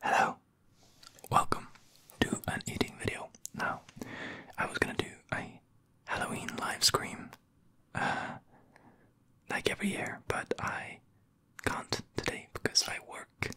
Hello, welcome to an eating video. Now, I was gonna do a Halloween live stream uh, like every year, but I can't today because I work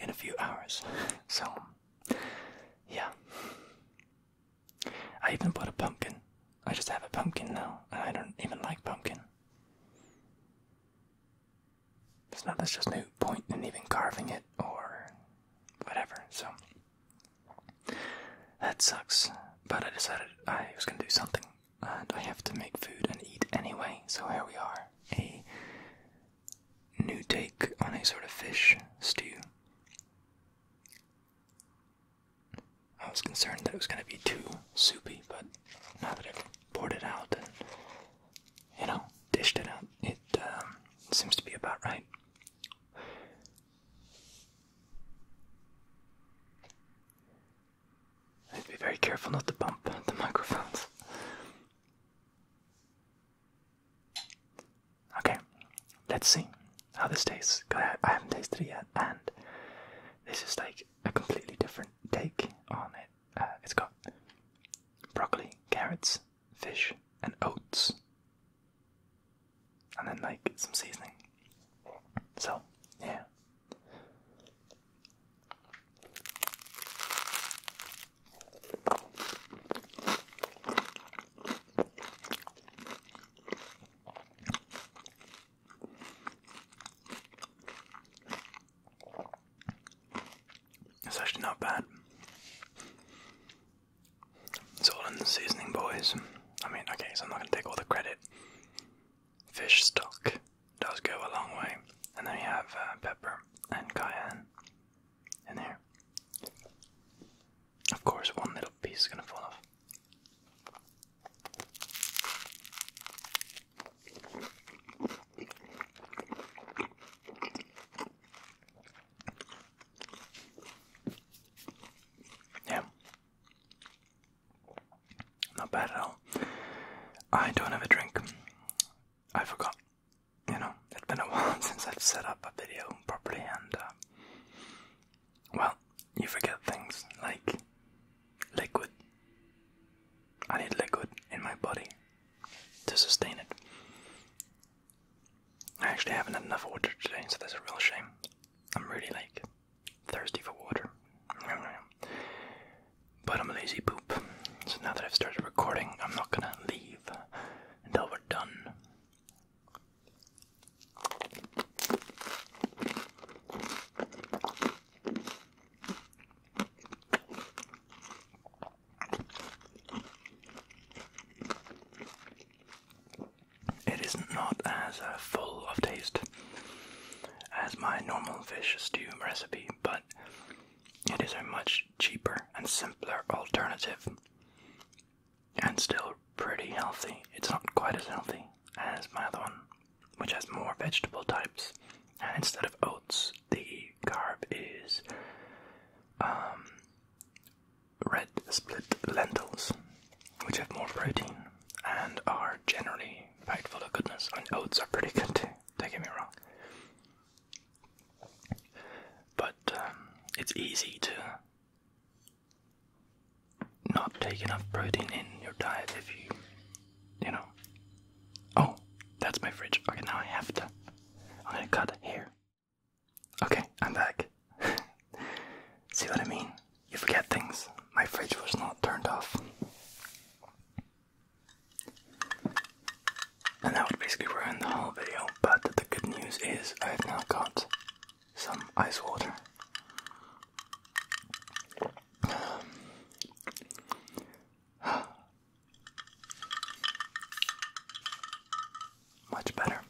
in a few hours. So, yeah. I even bought a pumpkin. I just have a pumpkin now, and I don't even like pumpkin. It's not. there's just no point in even carving it or whatever, so that sucks. But I decided I was gonna do something, and I have to make food and eat anyway, so here we are. A new take on a sort of fish stew. I was concerned that it was going to be too soupy, but now that I've poured it out and, you know, dished it out, it um, seems to be about right. I'd be very careful not to bump the microphones. Okay, let's see how this tastes. I, I haven't tasted it yet, and this is like a completely different take on it. Uh, it's got broccoli, carrots, fish, and oats, and then like some seasoning. So, yeah. It's actually not bad. It's all in the seasoning, boys. I mean, okay, so I'm not gonna take all the credit. Fish stock does go a long way, and then you have uh, pepper and cayenne in here. Of course, one little piece is going to fall off. Yeah. Not bad at all. I don't have a drink. I forgot. You know, it's been a while since I've set up a video properly and uh, well, you forget things like liquid. I need liquid in my body to sustain it. I actually haven't had enough water today, so that's a real shame. I'm really like thirsty for water. But I'm a lazy poop. So now that I've started recording, I'm not gonna leave until we're done. It is not as uh, full of taste as my normal fish stew recipe, but it is a much cheaper and simpler alternative and still pretty healthy. It's not quite as healthy as my other one, which has more vegetable types. And instead of oats, the carb is um, red split lentils, which have more protein and are generally packed full of goodness. And oats are pretty good don't get me wrong. But um, it's easy to not take enough protein in your diet if you, you know. Oh, that's my fridge. Okay, now I have to. I'm gonna cut here. Okay, I'm back. See what I mean? You forget things. My fridge was not turned off. And that would basically ruin the whole video, but the good news is I've now got some ice water. Much better.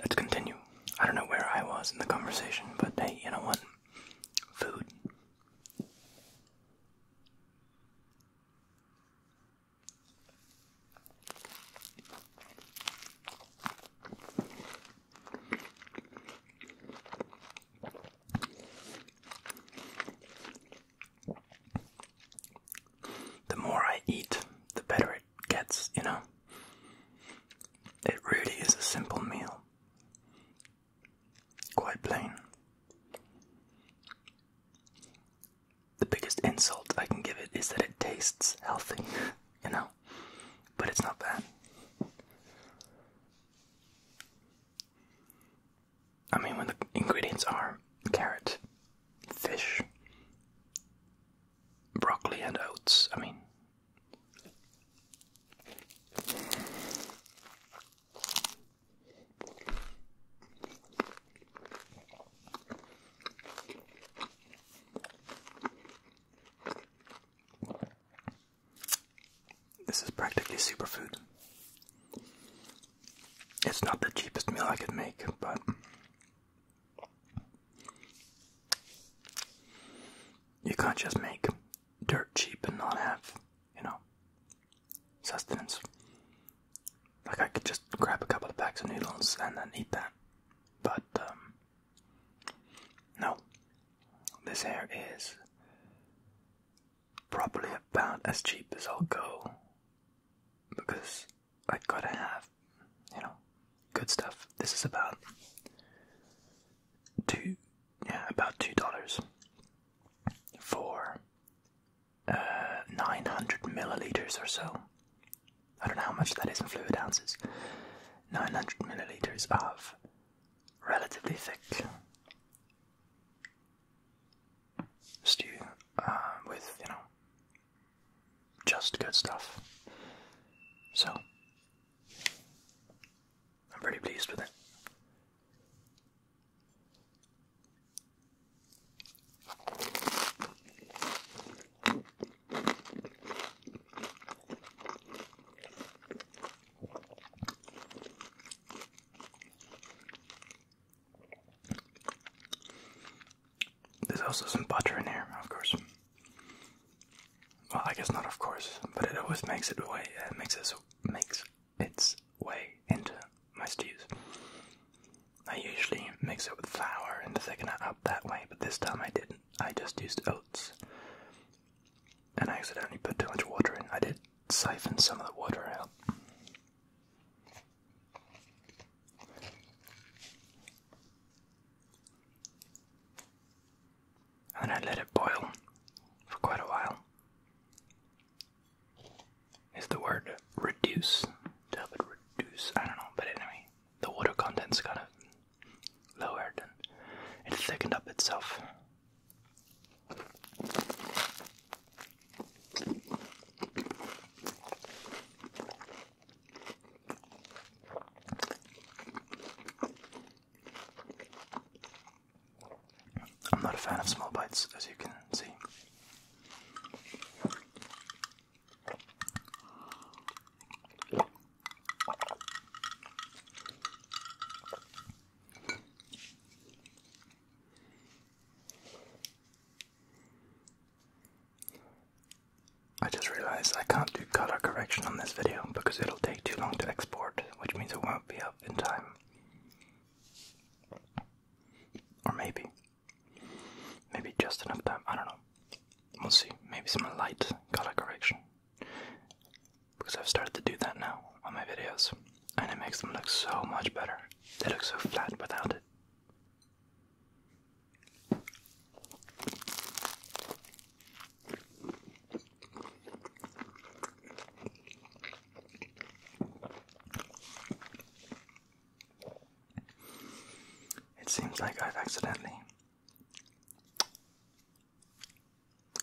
Let's continue. I don't know where I was in the conversation, but hey, you know what? Food. The more I eat, the better it gets, you know? It really is a simple meal. Quite plain the biggest insult I can give it is that it tastes healthy, you know? But it's not bad. I mean, when the ingredients are carrot, fish, broccoli, and oats, I mean. This is practically superfood. It's not the cheapest meal I could make, but you can't just make dirt cheap and not have, you know, sustenance. Like I could just grab a couple of packs of noodles and then eat that. But um, no. This hair is probably about as cheap as I'll go because I gotta have, you know, good stuff. This is about two yeah, about two dollars for uh, 900 milliliters or so. I don't know how much that is in fluid ounces. 900 milliliters of relatively thick stew uh, with, you know, just good stuff. So, I'm pretty pleased with it. There's also some butter in here, of course. Well, I guess not, of course, but it always makes it way. It uh, makes it makes its way into my stews. I usually mix it with flour and thicken it up that way, but this time I didn't. I just used oats. And I accidentally put too much water in. I did siphon some of the water out. And I let it boil for quite a while is the word reduce. To help it reduce, I don't know, but anyway, the water content's kind of lower, and it thickened up itself. I'm not a fan of small bites, as you can see. I just realized I can't do color correction on this video because it'll take too long to export, which means it won't be up in time. Or maybe. Maybe just enough time, I don't know. We'll see. Maybe some light color correction. Because I've started to do that now on my videos. And it makes them look so much better. They look so flat without it. It seems like I've accidentally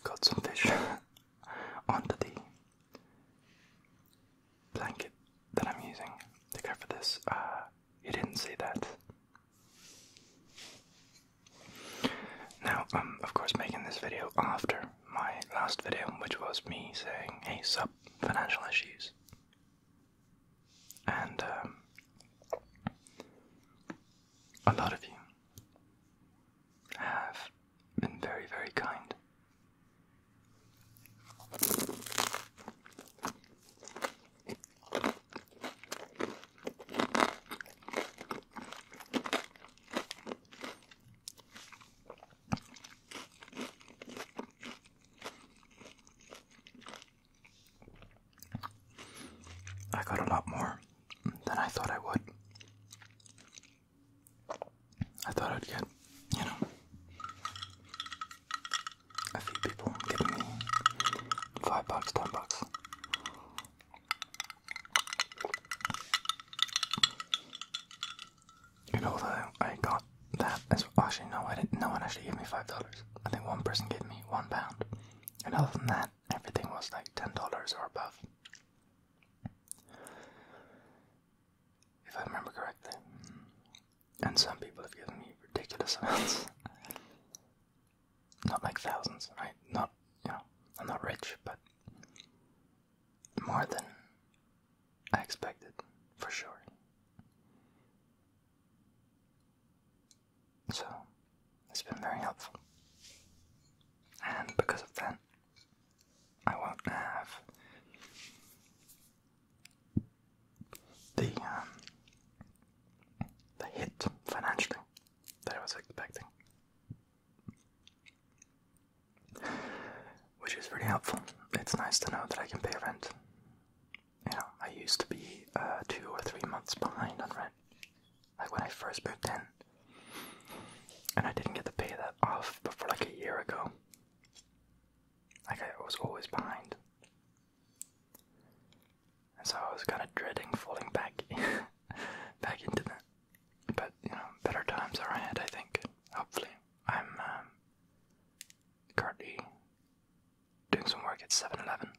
got some fish onto the blanket that I'm using to cover this. Uh, you didn't say that. Now, I'm of course making this video after my last video, which was me saying, hey, sup, financial issues and um, a lot of you have been very, very kind. I got a lot more than I thought I would. I thought I'd get, you know, a few people giving me five bucks, ten bucks. And although I got that as well, actually no, I didn't. No one actually gave me five dollars. I think one person gave me one pound, and other than that, everything was like ten dollars or above, if I remember correctly. And some people have given me ridiculous amounts. Not like thousands, right? Not, you know, I'm not rich, but more than I expected, for sure. So, it's been very helpful. And because of that, I won't have the um, the hit financially that I was expecting, which is pretty helpful. It's nice to know that I can pay rent you know, I used to be uh, two or three months behind on rent, like when I first moved in, and I didn't get to pay that off before like a year ago. Like I was always behind, and so I was kind of dreading falling back, back into that. But you know, better times are ahead. I think. Hopefully, I'm. Um, currently doing some work at 7 Eleven.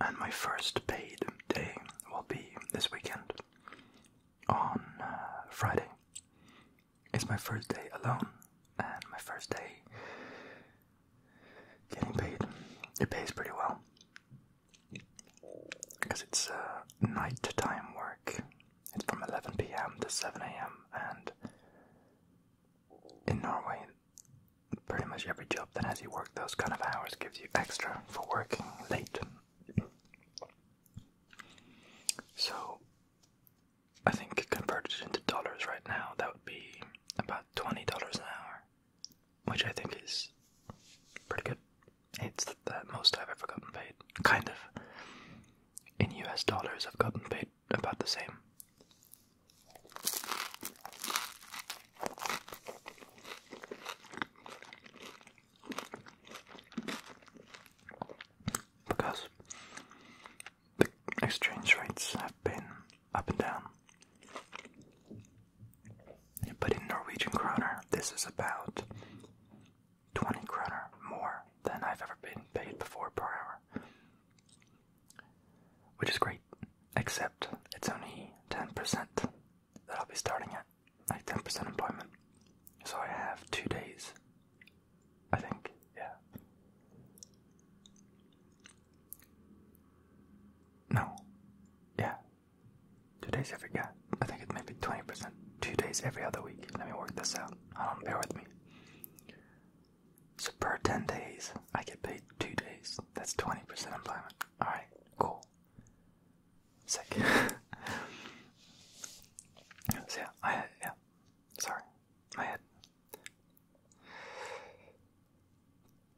And my first paid day will be this weekend on uh, Friday. It's my first day alone and my first day getting paid. It pays pretty well because it's uh, nighttime work. It's from 11 p.m. to 7 a.m. and in Norway, pretty much every job that has you work those kind of hours gives you extra for working late. So I think converted into dollars right now, that would be about $20 an hour, which I think is pretty good. It's the most I've ever gotten paid, kind of. In US dollars, I've gotten paid about the same because the exchange rates have been up and down. But in Norwegian kroner, this is about 20 kroner more than I've ever been paid before per hour. Which is great, except it's only 10% that I'll be starting at like 10% employment. So I have two days. I think, yeah. No. Yeah. Two days every, yeah. I think it may 20%. Two days every other week. Let me work this out. I don't bear with me. So per 10 days, I get paid two days. That's 20% employment. Alright, cool sick. so yeah, I yeah. Sorry, my head.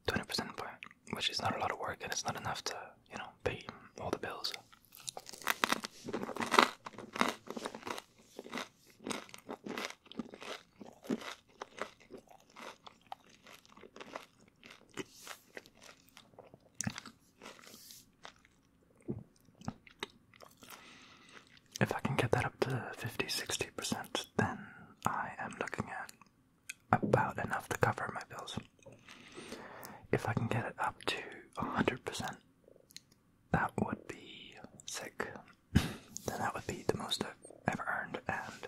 20% employment, which is not a lot of work, and it's not enough to, you know, pay all the bills. If I can get that up to 50 60%, then I am looking at about enough to cover my bills. If I can get it up to 100%, that would be sick. then that would be the most I've ever earned, and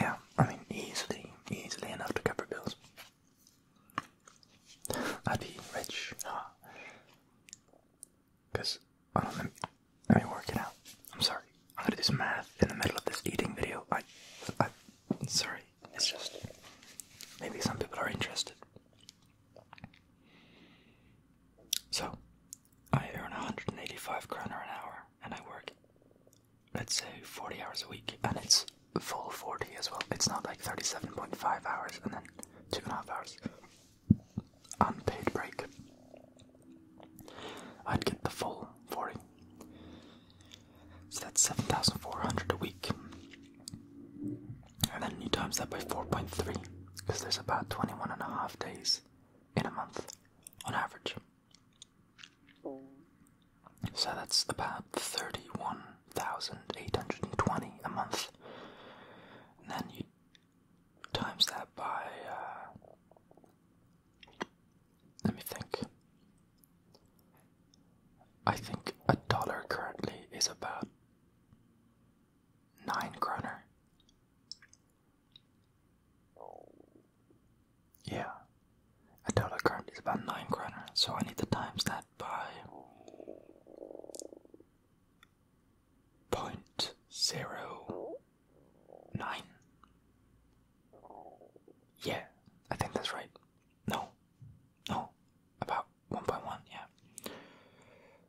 yeah, I mean, easily, easily enough to cover bills. I'd be rich. Because, well, let me, let me work it out. I'm sorry. I'm gonna do some math in the middle of this eating video. I, I, sorry. It's just, maybe some people are interested. So, I earn 185 kroner an hour, and I work let's say 40 hours a week, and it's full 40 as well. It's not like 37.5 hours and then two and a half hours unpaid break. I'd get the full 40. So that's 7,400 a week. And then you times that by 4.3 because there's about 21 and a half days in a month on average. So that's about 31,820 a month. then you times that by, uh, let me think. I think a dollar currently is about 9 kroner. Yeah. A dollar current is about 9 kroner, so I need to times that by point zero nine. Yeah, I think that's right. No, no, about 1.1, yeah.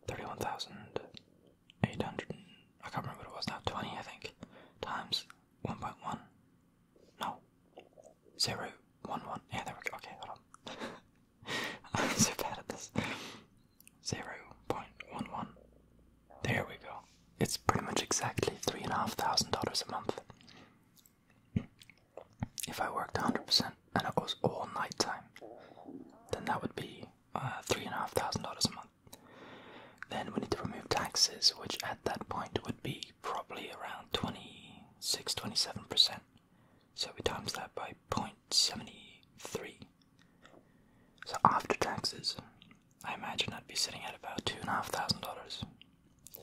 31,800, I can't remember what it was now, 20 I think, times one point one. No. Zero one one. Yeah, there we go. Okay, hold on. I'm so bad at this. Zero point one one. There we go. It's pretty much exactly three and a half thousand dollars a month. If I worked hundred percent and it was all night time, then that would be uh, three and a half thousand dollars a month. Then we need to remove taxes, which at that point would be probably around 26 27%. So we times that by 0.73. So after taxes, I imagine I'd be sitting at about $2,500.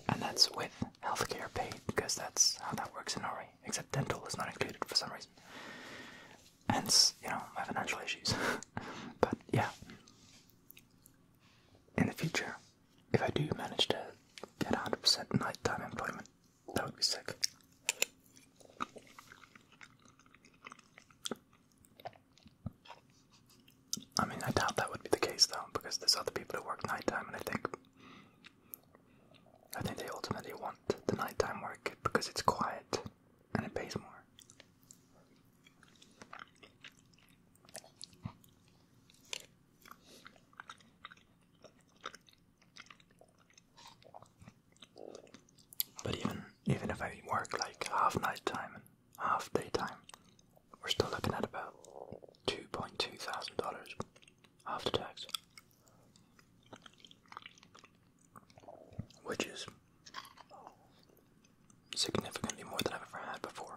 And that's with healthcare paid because that's how that works in Norway, except dental is not included for some reason. Hence, you know, my financial issues. but yeah. In the future, if I do manage to get 100% nighttime employment, that would be sick. I mean, I doubt that would be the case though, because there's other people who work nighttime, and I think I think they ultimately want the nighttime work because it's quiet and it pays more. But even even if I work like half night time and half daytime, we're still looking at about two point two thousand dollars after tax. Which is significantly more than I've ever had before.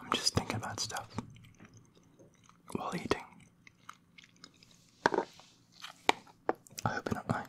I'm just thinking about stuff while eating. I hope you don't mind.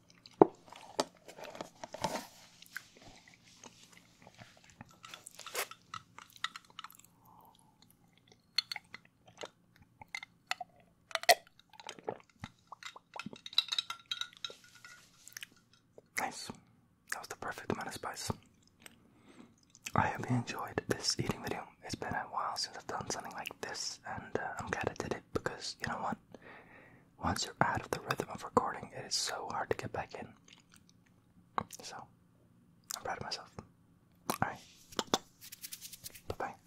Nice. That was the perfect amount of spice. I hope you enjoyed this eating video. It's been a while since I've done something like this, and uh, I'm glad I did it because you know what? once you're out of the rhythm of recording, it is so hard to get back in. So, I'm proud of myself. Alright. Bye bye.